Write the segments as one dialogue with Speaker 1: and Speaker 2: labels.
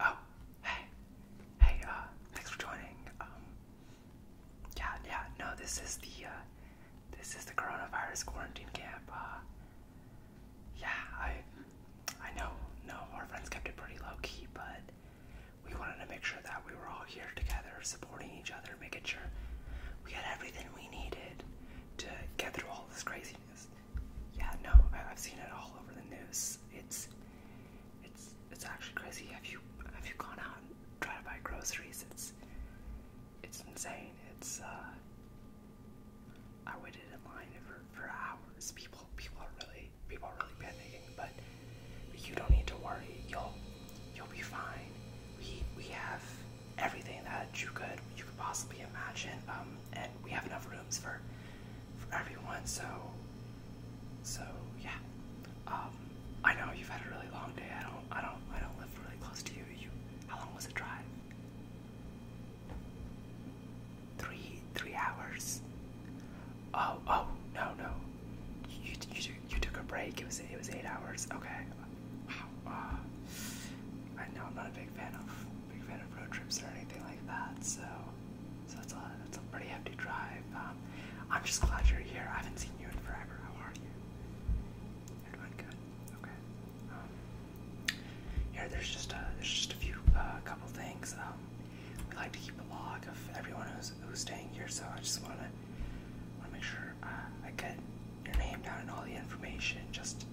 Speaker 1: Oh, hey, hey, uh, thanks for joining. Um, yeah, yeah, no, this is the, uh, this is the coronavirus quarantine camp. Uh, yeah, I, I know, no, our friends kept it pretty low key, but we wanted to make sure that we were all here together, supporting each other, making sure we had everything we needed to get through all this craziness. Yeah, no, I've seen it all over the news. It's it's it's actually crazy. Have you have you gone out and tried to buy groceries? It's it's insane. It's uh I waited in line for for hours. People people are really people are really panicking, but you don't need to worry. You'll you'll be fine. We we have everything that you could you could possibly imagine. Um, and we have enough rooms for for everyone. So so yeah. Um, I know you've had a really long day. I don't I don't I don't live really close to you. You how long was the drive? Three three hours. Oh, oh, no, no. You, you, you took a break. It was it was eight hours. Okay. Wow. Uh, I know I'm not a big fan of big fan of road trips or anything like that. So, so that's a that's a pretty hefty drive. Um, I'm just glad you're here. I haven't seen you in forever. How are you? good. Okay. Um, here, there's just a there's just a few uh, couple things. Um, we like to keep a log of everyone who's who's staying here, so I just wanna wanna make sure uh, I get your name down and all the information, just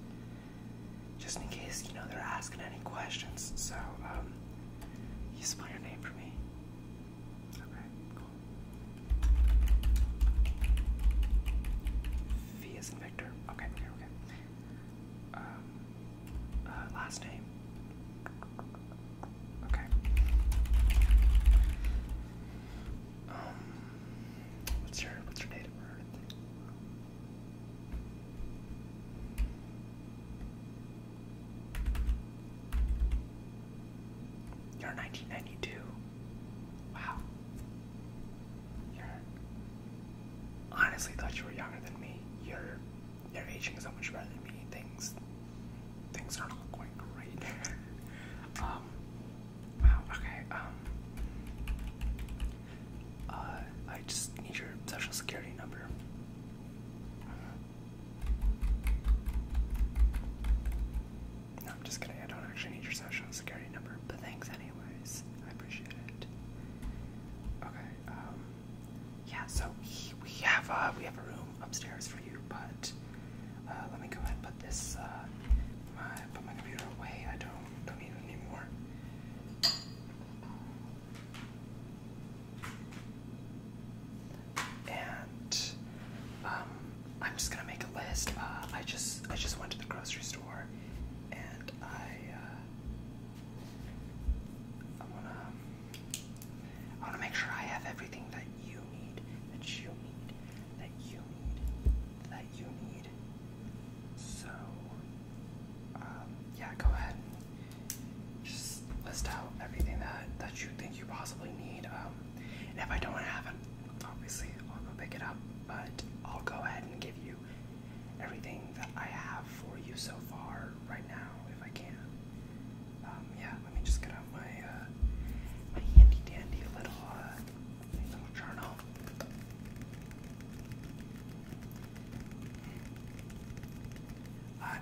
Speaker 1: just in case you know they're asking any questions. So um, you spell your name for me. Okay, cool. V is Victor. Okay, okay, Um, uh, last name. Okay. Um, what's your what's your date of birth? You're 1992. Wow. You're. Honestly, thought you were younger than me. Your your aging is so much better than me. Things things are not going great. Um, wow, okay, um, uh, I just need your social security number. No, I'm just kidding, I don't actually need your social security number, but thanks anyways. I appreciate it. Okay, um, yeah, so he, we have, uh, we have a room upstairs for you, but uh, let me go ahead and put this, uh, put my computer away. I don't, don't need it anymore. And um, I'm just gonna make a list. Uh, I just I just went to the grocery store, and I uh, I wanna I wanna make sure I have everything that that you need, that you need, that you need, that you need. So, um, yeah, go ahead and just list out everything that, that you think you possibly need. Um, and if I don't have it, obviously I'll go pick it up, but I'll go ahead and give you everything that I have for you so far right now if I can. Um, yeah, let me just get out my uh, my handy dandy little uh, little journal.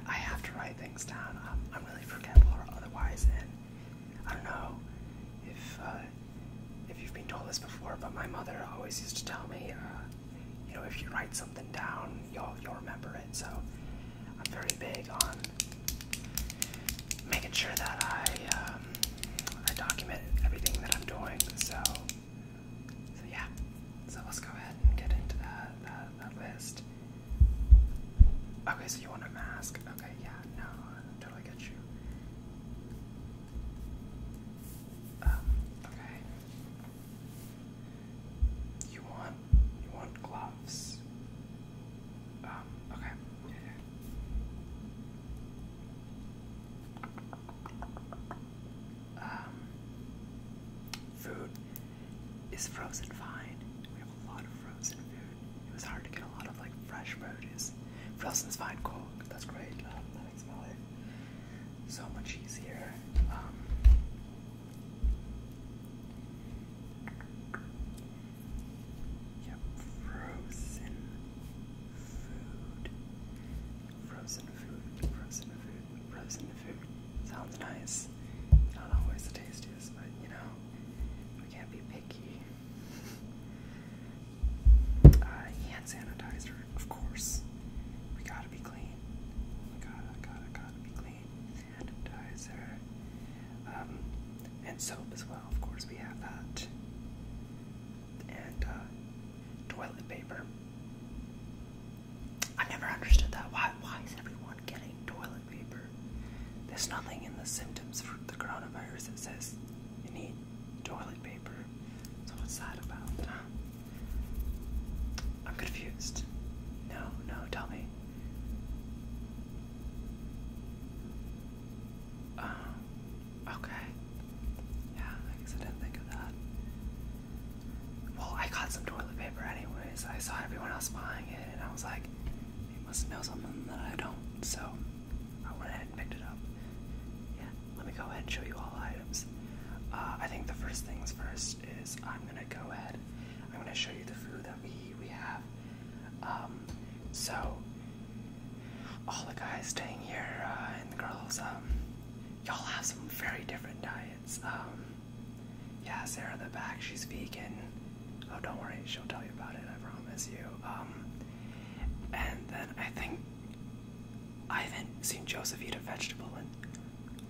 Speaker 1: I, have to write things down. I'm, really forgetful or otherwise, and I don't know if uh, if you've been told this before, but my mother always used to tell me, you know, if you write something down, you'll you'll remember it. So I'm very big on making sure that I um, I document everything that I'm doing. So, so yeah. So let's go ahead and get into that that, list. Okay, so you want a mask? Okay, yeah, no, totally get you. Um, okay. You want um, want gloves. Um, okay. Um, food is frozen fine. We have a lot of frozen food. It was hard to get a lot of like fresh produce. Frozen is fine, cool. That's great. Uh, that makes my life so much easier. Um, Yep, frozen food. Frozen food, frozen food, frozen food. Sounds nice. It's not always the tastiest, but you know, we can't be picky. Uh, hand sanitizer, of course. We gotta be clean. We gotta, gotta, gotta be clean sanitizer, um, and soap as well. Of course, we have that, and uh, toilet paper. I never understood that. Why? Why is everyone getting toilet paper? There's nothing in the symptoms for the coronavirus that says you need toilet paper. So what's that about? I'm confused. No, no, tell me. Um, okay. Yeah, I guess I didn't think of that. Well, I got some toilet paper anyways. I saw everyone else buying it, and I was like, "You must know something that I don't, so I went ahead and picked it up. Yeah, let me go ahead and show you all items. Uh, I think the first things first is I'm gonna go ahead. I'm gonna show you the food that we we have. Um, so all the guys staying here uh, and the girls, um, y'all have some very different diets. Um, yeah, Sarah in the back, she's vegan. Oh, don't worry, she'll tell you about it. I promise you. and then I think I haven't seen Joseph eat a vegetable in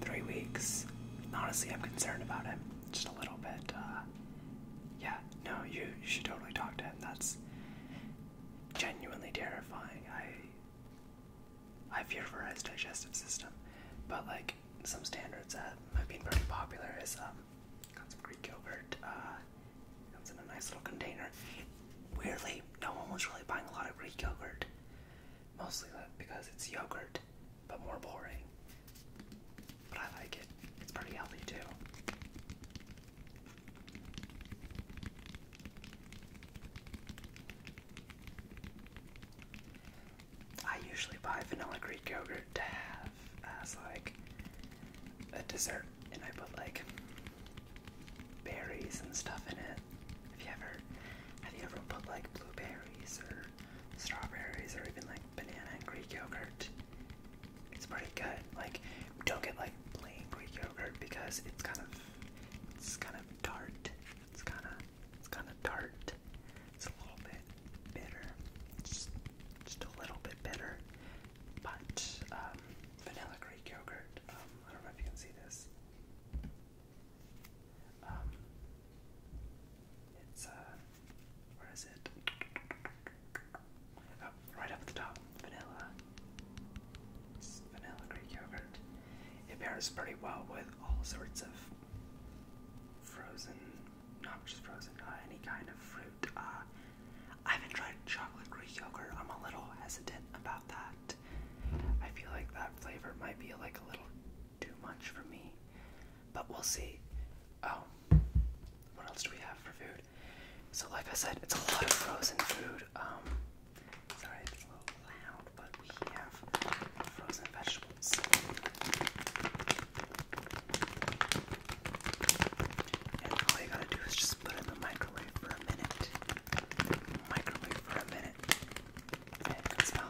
Speaker 1: three weeks. Honestly, I'm concerned about him just a little bit. Uh, yeah, no, you, should totally talk to him. That's genuinely terrifying. I I fear for his digestive system. But like some standards that have been very popular is um got some Greek yogurt, uh comes in a nice little container. Weirdly, no one was really buying a lot of Greek yogurt. Mostly because it's yogurt but more boring. But I like it. It's pretty healthy too. I usually buy vanilla Greek yogurt to have as like a dessert, and I put like berries and stuff in it. Have you ever, have you ever put like blueberries or strawberries or even like banana and Greek yogurt. It's pretty good. Like, don't get like plain Greek yogurt because it's kind of, it's kind of tart. It's kind of, it's kind of tart. It's a little bit bitter. Just, just a little bit bitter. But um, vanilla Greek yogurt. Um, I don't know if you can see this. Um, it's uh, where is it? Oh, right up at the top. Vanilla. vanilla Greek yogurt. It pairs pretty well with all sorts of frozen, not just frozen, uh, any kind of fruit. Uh, I haven't tried chocolate Greek yogurt. I'm a little hesitant about that. I feel like that flavor might be like a little too much for me but we'll see. Um, what else do we have for food? So, like I said, it's a lot of frozen food. Um, sorry, it's a little loud, but we have frozen vegetables. And all you gotta do is just put in the microwave for a minute. Microwave for a minute. And you can smell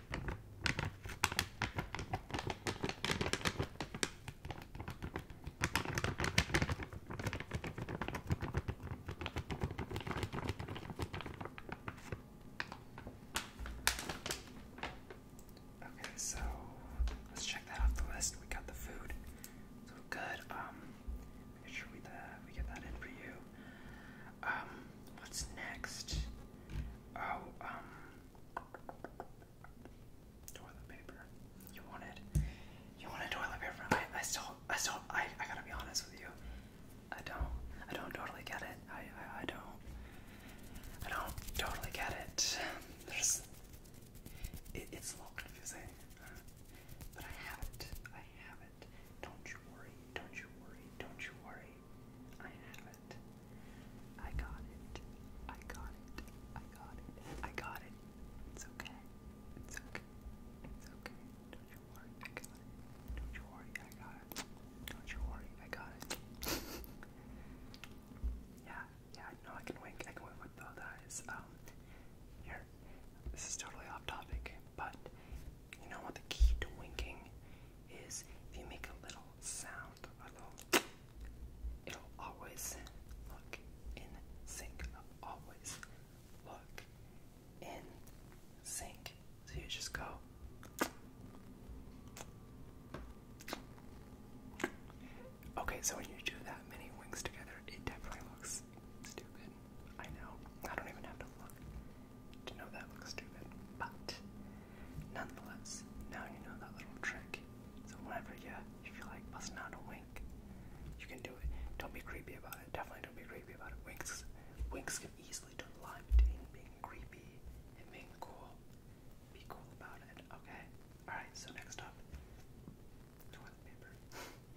Speaker 1: Okay, so let's check that off the list. We got the food. So good. Um, make sure we uh, we get that in for you. Um what's next? Oh, um, toilet paper. You wanted, you wanted toilet paper. I, I still, I still, I, I gotta be honest with you. I don't, I don't totally get it. I, I, don't, I don't totally get it. There's, it, it's a little confusing, but I have it. I have it. Don't you worry. Don't you worry. Don't you worry. I have it. I got it. I got it. I got it. I got it. It's okay. It's okay. It's okay. Don't you worry. I got it. Don't you worry. I got it. Don't you worry. I got it. yeah. Yeah. No, I can wink. I can wink with both Um. Here. This is totally off topic, but you know what the key to winking is? If you make a little sound, it'll always look in sync. it always look in sync. So you just go. Okay, so when you do that many winks together, it definitely looks stupid. I know. I don't even have to look to know that looks stupid, but nonetheless, now you know that little trick. So whenever you, feel like busting out a wink, you can do it. Don't be creepy about it. Definitely don't be creepy about it. Winks, winks can easily turn the into being creepy and being cool. Be cool about it, okay? All right. So next up, toilet paper.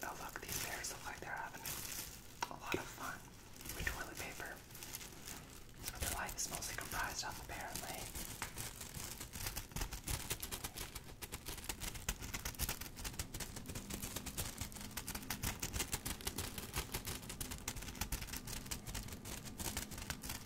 Speaker 1: Oh look, these bears look like they're having a lot of fun with toilet paper. their life is mostly comprised of, apparently.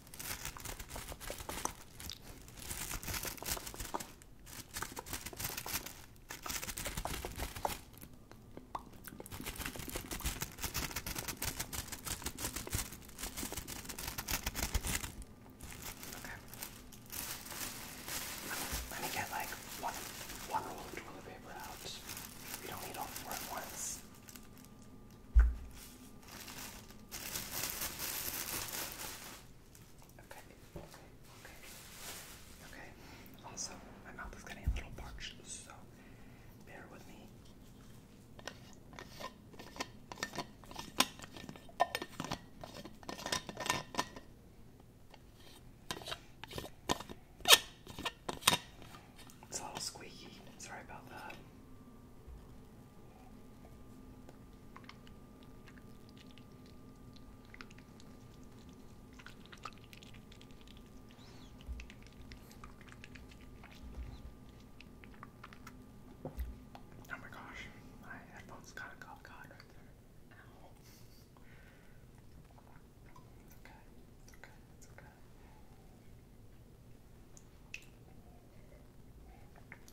Speaker 1: Okay. Let me get like one one roll of toilet paper out. We don't need all four at once. Okay, okay, okay. Okay. Also, my mouth is getting a little parched, so bear with me. It's a little squeaky. Sorry about that. Oh my gosh, my headphones got a right there. Ow. It's okay, it's okay, it's okay.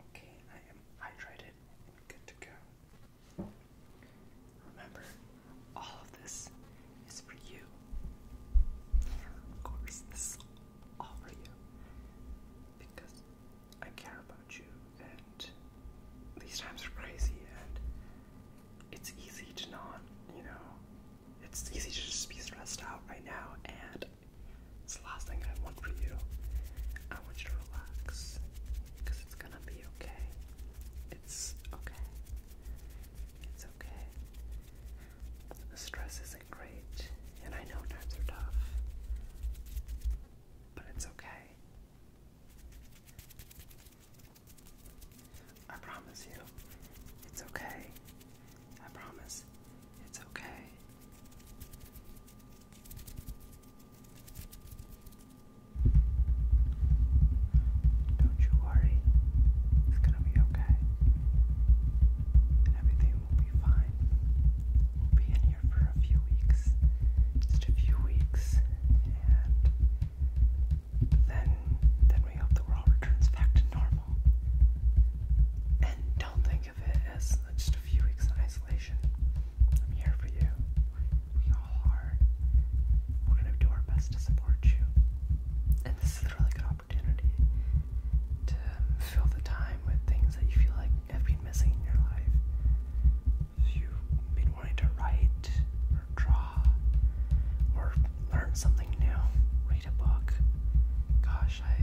Speaker 1: Okay, I am hydrated and good to go. Remember, all of this is for you. Of course, this is all for you. Because I care about you, and these times are crazy, and it's easy to not, you know, it's easy to just be stressed out right now, and it's the last thing I want for you. I want you to relax because it's gonna be okay. It's okay. It's okay. The stress isn't great, and I know times are tough, but it's okay. I promise you, it's okay. I promise, it's okay. Don't you worry, it's gonna be okay. And everything will be fine. We'll be in here for a few weeks, just a few weeks, and then then we hope the world returns back to normal. And don't think of it as just a few weeks in isolation. I'm here for you. We all are. We're going to do our best to support you. And this is a really good opportunity to fill the time with things that you feel like have been missing in your life. you've been wanting to write, or draw, or learn something new, read a book. Gosh, I,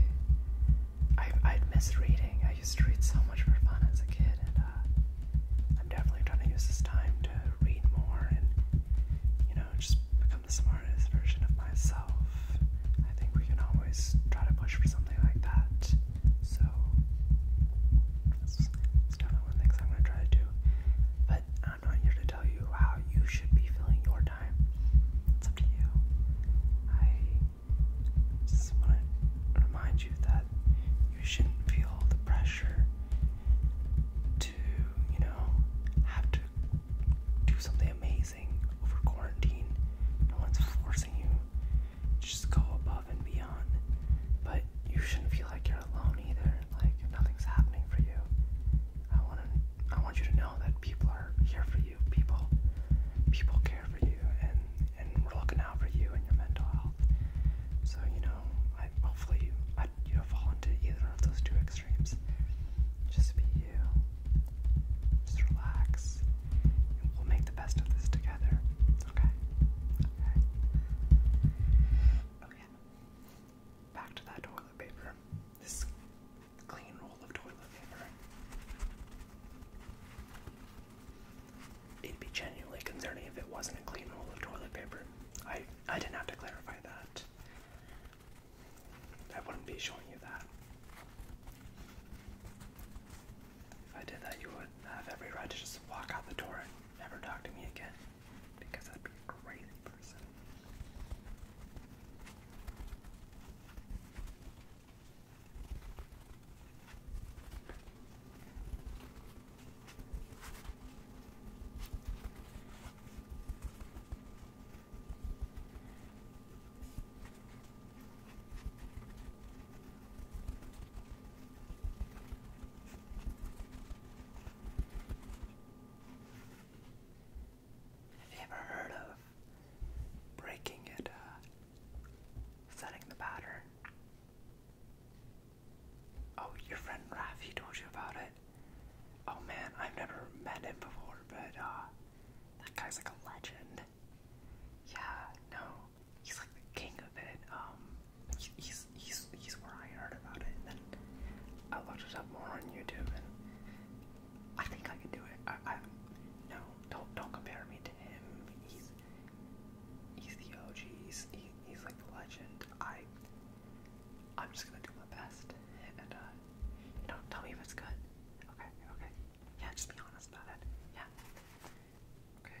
Speaker 1: I i miss reading. I used to read so much for fun as a kid, and uh, I'm definitely trying to use this time to read more and, you know, just become the smartest version of myself. I think we can always try to push for something like that. So, that's, definitely one of the things I'm going to try to do. But I'm not here to tell you how you should be filling your time. It's up to you. I just want to remind you that you shouldn't feel the pressure to, you know, have to do something amazing over quarantine. No one's forcing you. Just go above and beyond. But you shouldn't feel like you're alone either. Like nothing's happening for you. I want I want you to know that people are here for you. People, people care for you, and and we're looking out for you and your mental health. So you know, hopefully you, don't fall into either of those two extremes. Just be you. Just relax, we'll make the best of this together. Okay. Okay. Okay. Back to that toilet paper. This clean roll of toilet paper. It'd be genuinely concerning if it wasn't a clean roll of toilet paper. I I didn't have to clarify that. I wouldn't be showing you that. If I did that, you would have every right to just walk out the door and never talk to me again, because I'd be a crazy person. Have you ever heard of breaking it, uh, setting the pattern? Oh, your friend Raph, he told you about it. Oh man, I've never met him before, but uh, that guy's like a legend. Yeah, no, he's like the king of it. Um, he's he's he's where I heard about it, and then I looked it up more on YouTube, and I think I can do it. I, I no, don't don't compare me to him. He's he's the OG. He's he's like the legend. I I'm just gonna do my best and uh, you know tell me if it's good. Okay, okay. Yeah, just be honest about it. Yeah. Okay.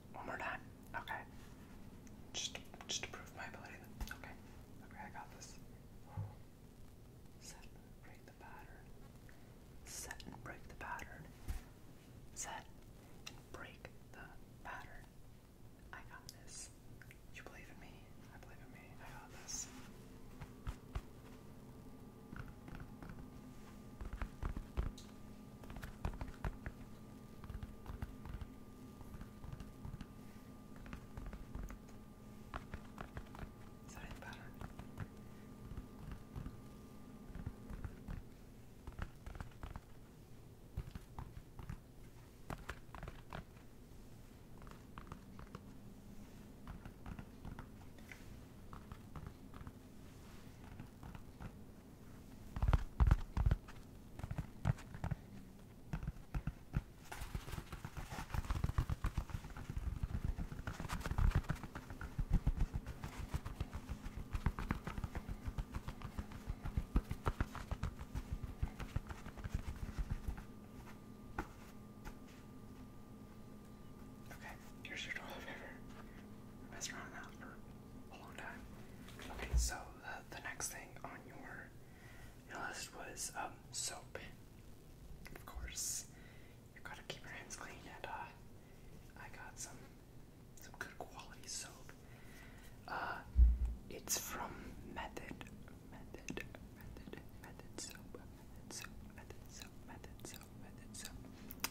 Speaker 1: One more time. Okay. Just, just prove my ability. Okay. Okay, I got this. Set break the pattern. Set and break the pattern. Set and break the pattern. I got this. You believe in me. I believe in me. I got this. Is that Okay, here's your toilet paper. I've been around that for a long time. Okay, so uh, the next thing on your, list was um, soap. Of course, you gotta keep your hands clean, and uh, I got some some good quality soap. Uh, it's from Method, Method, Method, Method Soap, Method Soap, Method Soap, Method Soap.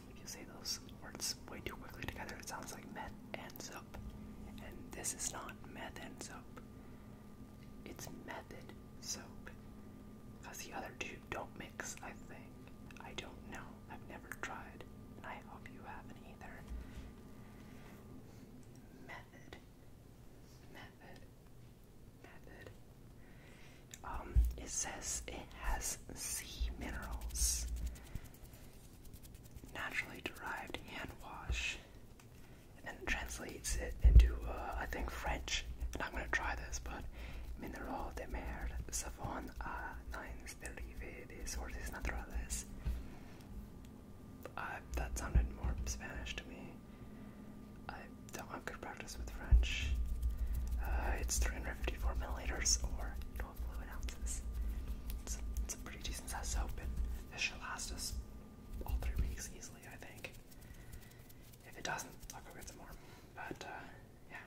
Speaker 1: If you say those words way too quickly together, it sounds like meth and soap. And this is not meth and soap. It's method soap. Because the other two don't mix, I think. I don't know. I've never tried. I hope you haven't either. Method. Method. Method. Um, it says it has sea minerals naturally derived hand wash and then translates it into, uh, I think, French. I'm going to try this, but mineral de mer savon a uh, nines derivadas or naturales. Uh, that sounded more Spanish to me. I don't have good practice with French. Uh, it's 354 milliliters or 12 ounces. It's a, pretty decent size soap. This should last us all three weeks easily, I think. If it doesn't, I'll go get some more. But, uh, yeah.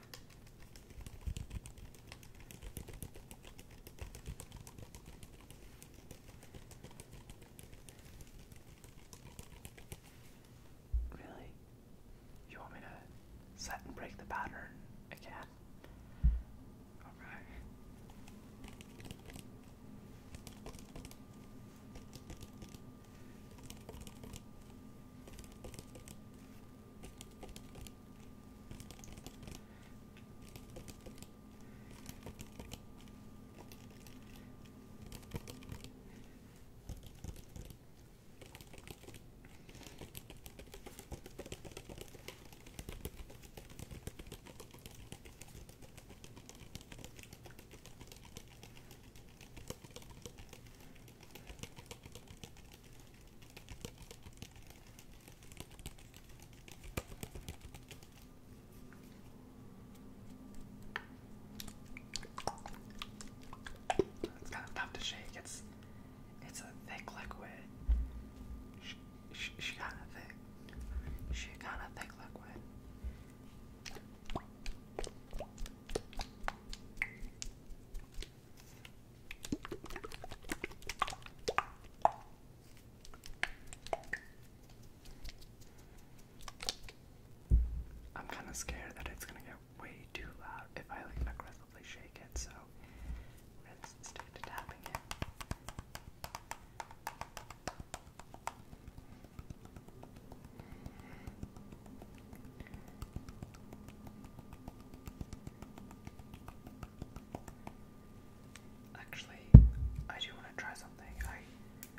Speaker 1: Really? You want me to set and break the pattern again? that. Alright. It's kind of tough to shake. It's it's a thick liquid. She, she kind of thick. She kind of thick liquid. I'm kind of scared that it's gonna get way too loud if I like aggressively shake it, so stick to tapping it. Actually, I do want to try something. I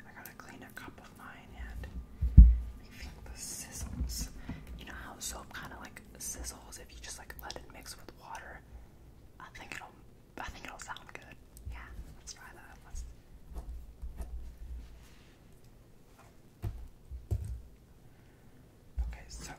Speaker 1: I gotta clean a cup of mine and I think the sizzles. You know how soap kind of like sizzles if you just like let it mix with water. I think it'll I think it'll sound good. Yeah, let's try that. Okay, so.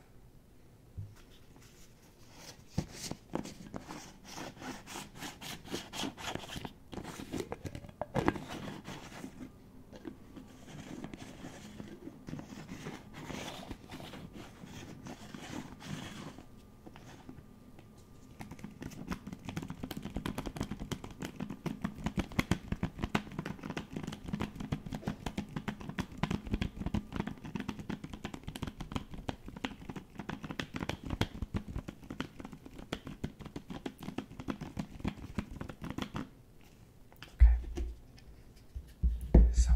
Speaker 1: Okay. So,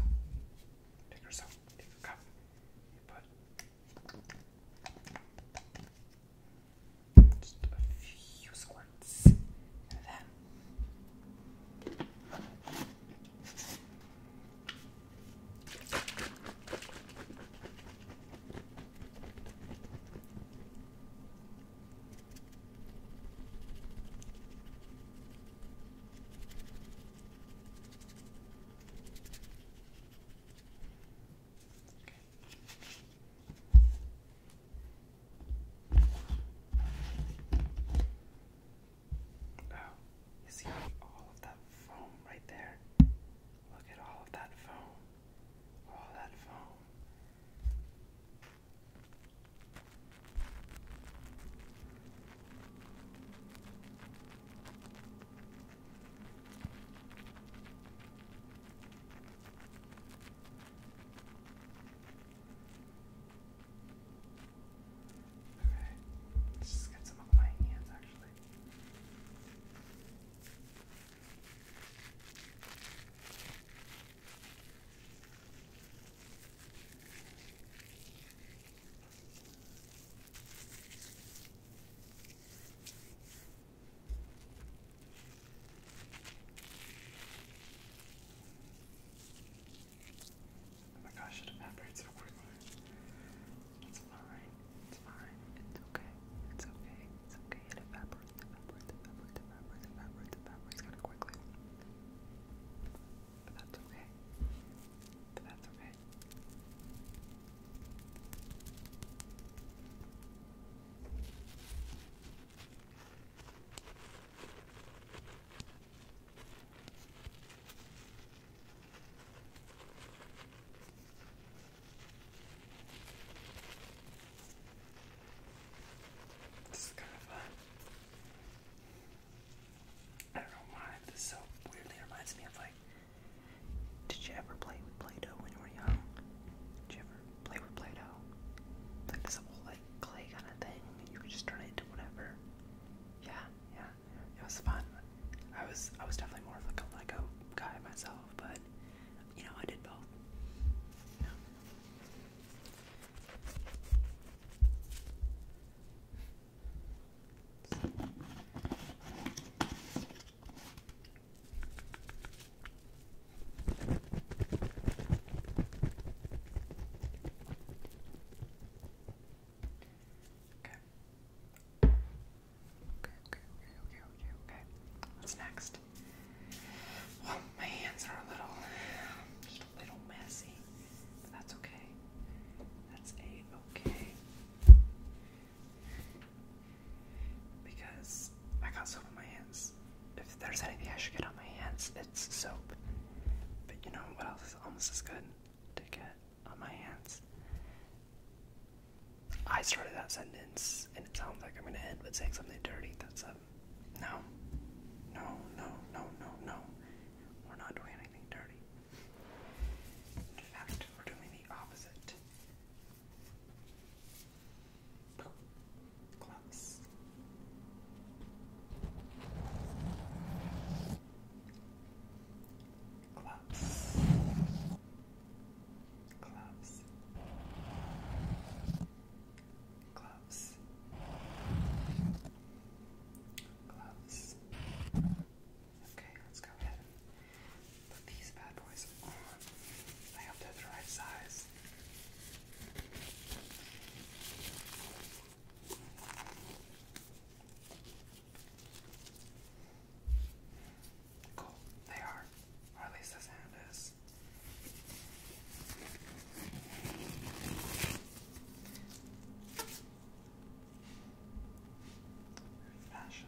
Speaker 1: take yourself, take your cup. You put just a few squirts of that. Oh, you see all of that foam right there? Look at all of that foam. All that foam. Okay, let's just get some of hands actually. Oh my gosh, it evaporates so quickly. It's fine. It's fine. It's okay. It's okay. It's okay. It evaporates, evaporates, evaporates, evaporates, evaporates, evaporates kind of quickly but that's okay. But that's okay. This is kind of I don't know why, this so weirdly reminds me of like. Did you ever play with Play Doh when you were young? Did you ever play with Play Doh? Like this whole like clay kind of thing, and you could just turn it into whatever. Yeah, yeah, it was fun. I was I was definitely more of like a Lego guy myself, but you know I did both. Okay. Okay, okay, okay, okay, okay, okay. What's next? Well, oh, my hands are a little, just a little messy that's okay. That's okay. Because I got soap on my hands. If there's anything I should get on my hands, it's soap. But you know what else is almost as good to get on my hands? I started that sentence and it sounds like I'm gonna end with saying something dirty. That's a no. No, no, no, no, no. We're not doing anything dirty. In fact, we're doing the opposite. Close. Gloves. Gloves. Gloves. Gloves. Okay, let's go ahead and put these bad boys on. I hope they're the right size. Cool, they are. Or at least this hand is. Fashion.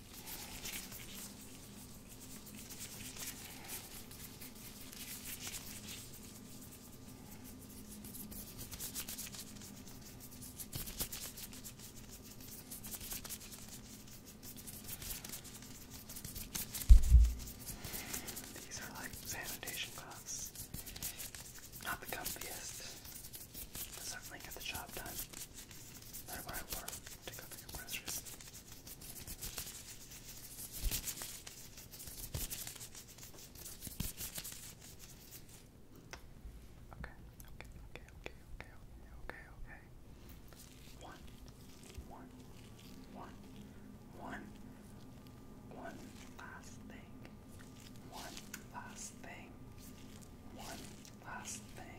Speaker 1: These are like sanitation gloves. Not the comfiest, but certainly get the job done. they what I work. Take out the compressors. Okay, okay, okay, okay, okay, okay, okay. One, one, one, one, one last thing. One last thing. One last thing.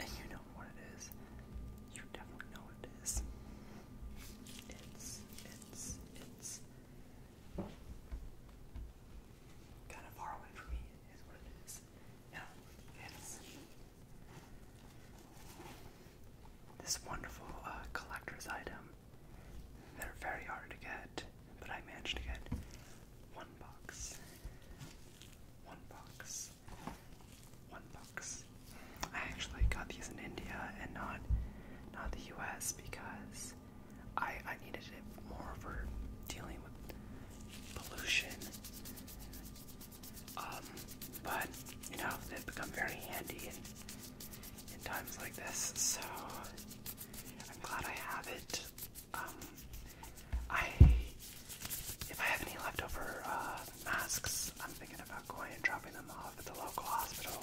Speaker 1: And you know what it is. You definitely know what it is. It's, it's, it's kind of far away from me, is what it is. Now, it's this wonderful uh, collector's item. that are very hard to get, but I managed to get one box. One box. One box. I actually got these in India and not not the US because I I needed it more for dealing with pollution. Um but you know they've become very handy in times like this so I'm glad I have it. Um, I if I have any leftover uh, masks, I'm thinking about going and dropping them off at the local hospital.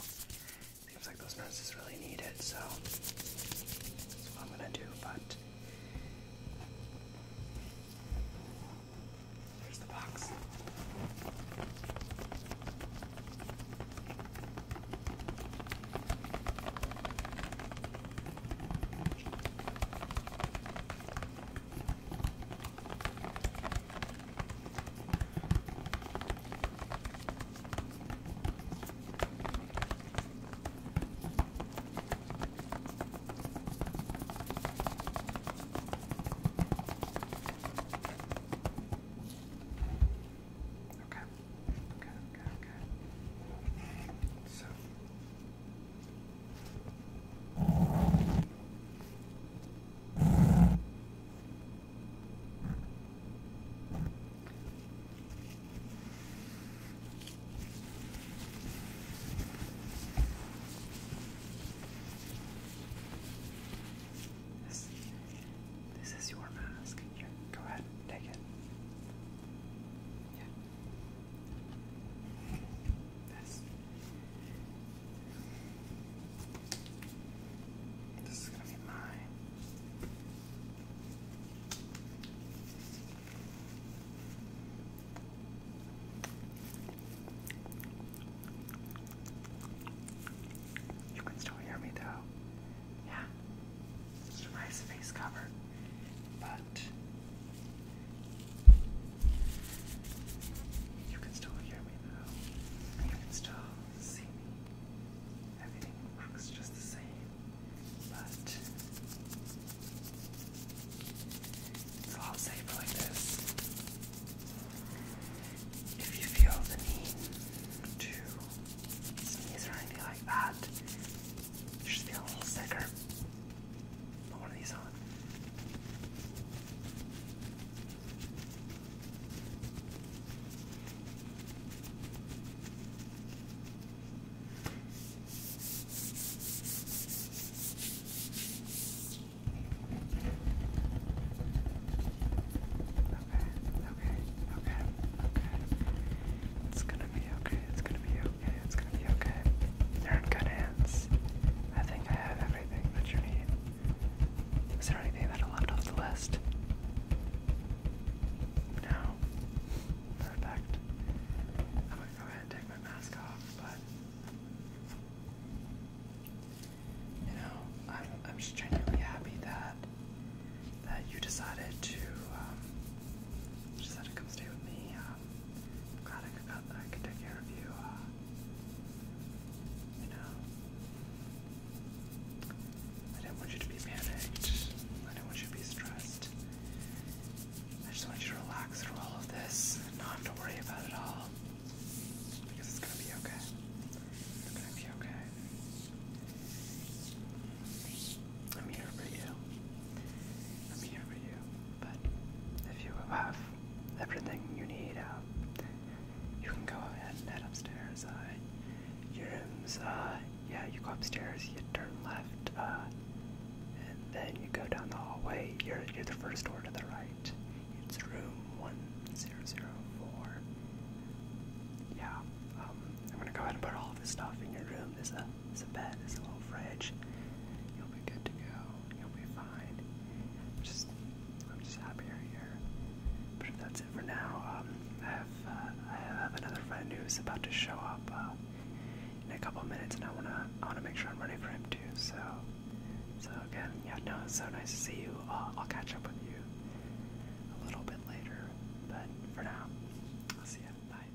Speaker 1: Seems like those nurses really need it, so that's what I'm gonna do. But there's the box. Okay. Okay. Okay. Okay. So this, this is your mask. Here, go ahead, take it. Yeah, this. This is gonna be mine. You can still hear me though. Yeah. It's face cover but you can still hear me now. You can still see me. Everything works just the same, but it's all safe like this. If you feel the need to sneeze or anything like that, just feel a little sicker. Put one of these on. Okay, okay, okay, okay. It's gonna be okay, it's gonna be it's gonna be okay. You're in good hands. I think I have everything that you need. Is there anything that I left off the list? No. Perfect. I'm gonna go ahead and take my mask off, but you know, I'm I'm just genuinely happy that that you decided to um, decided to come stay with me. Um, I'm take care of you. Uh, you know, I didn't want you to be panicked. I do not want you to be stressed. I just want you to relax through all of this and not have to worry about it all. Because it's gonna be okay. It's gonna be okay. I'm here for you. I'm here for you. But if you have everything you need, uh, you can go ahead and head upstairs. Uh, your rooms, uh, yeah, you go upstairs, you turn left, uh, and then you go down the hallway. You're, the first door to the right. It's room 1004. Yeah, um, I'm gonna go ahead and put all this stuff in your room. There's a uh, there's a bed, there's a little fridge. You'll be good to go. You'll be fine. I'm just, I'm just happy you're here. But if that's it for now, um, I have, uh, I have another friend who's about to show up uh, in a couple minutes, and I wanna, I wanna make sure I'm ready for him too. So, so again, yeah, no, it's so nice to see you. I'll catch up with you a little bit later, but for now, I'll see you. Bye.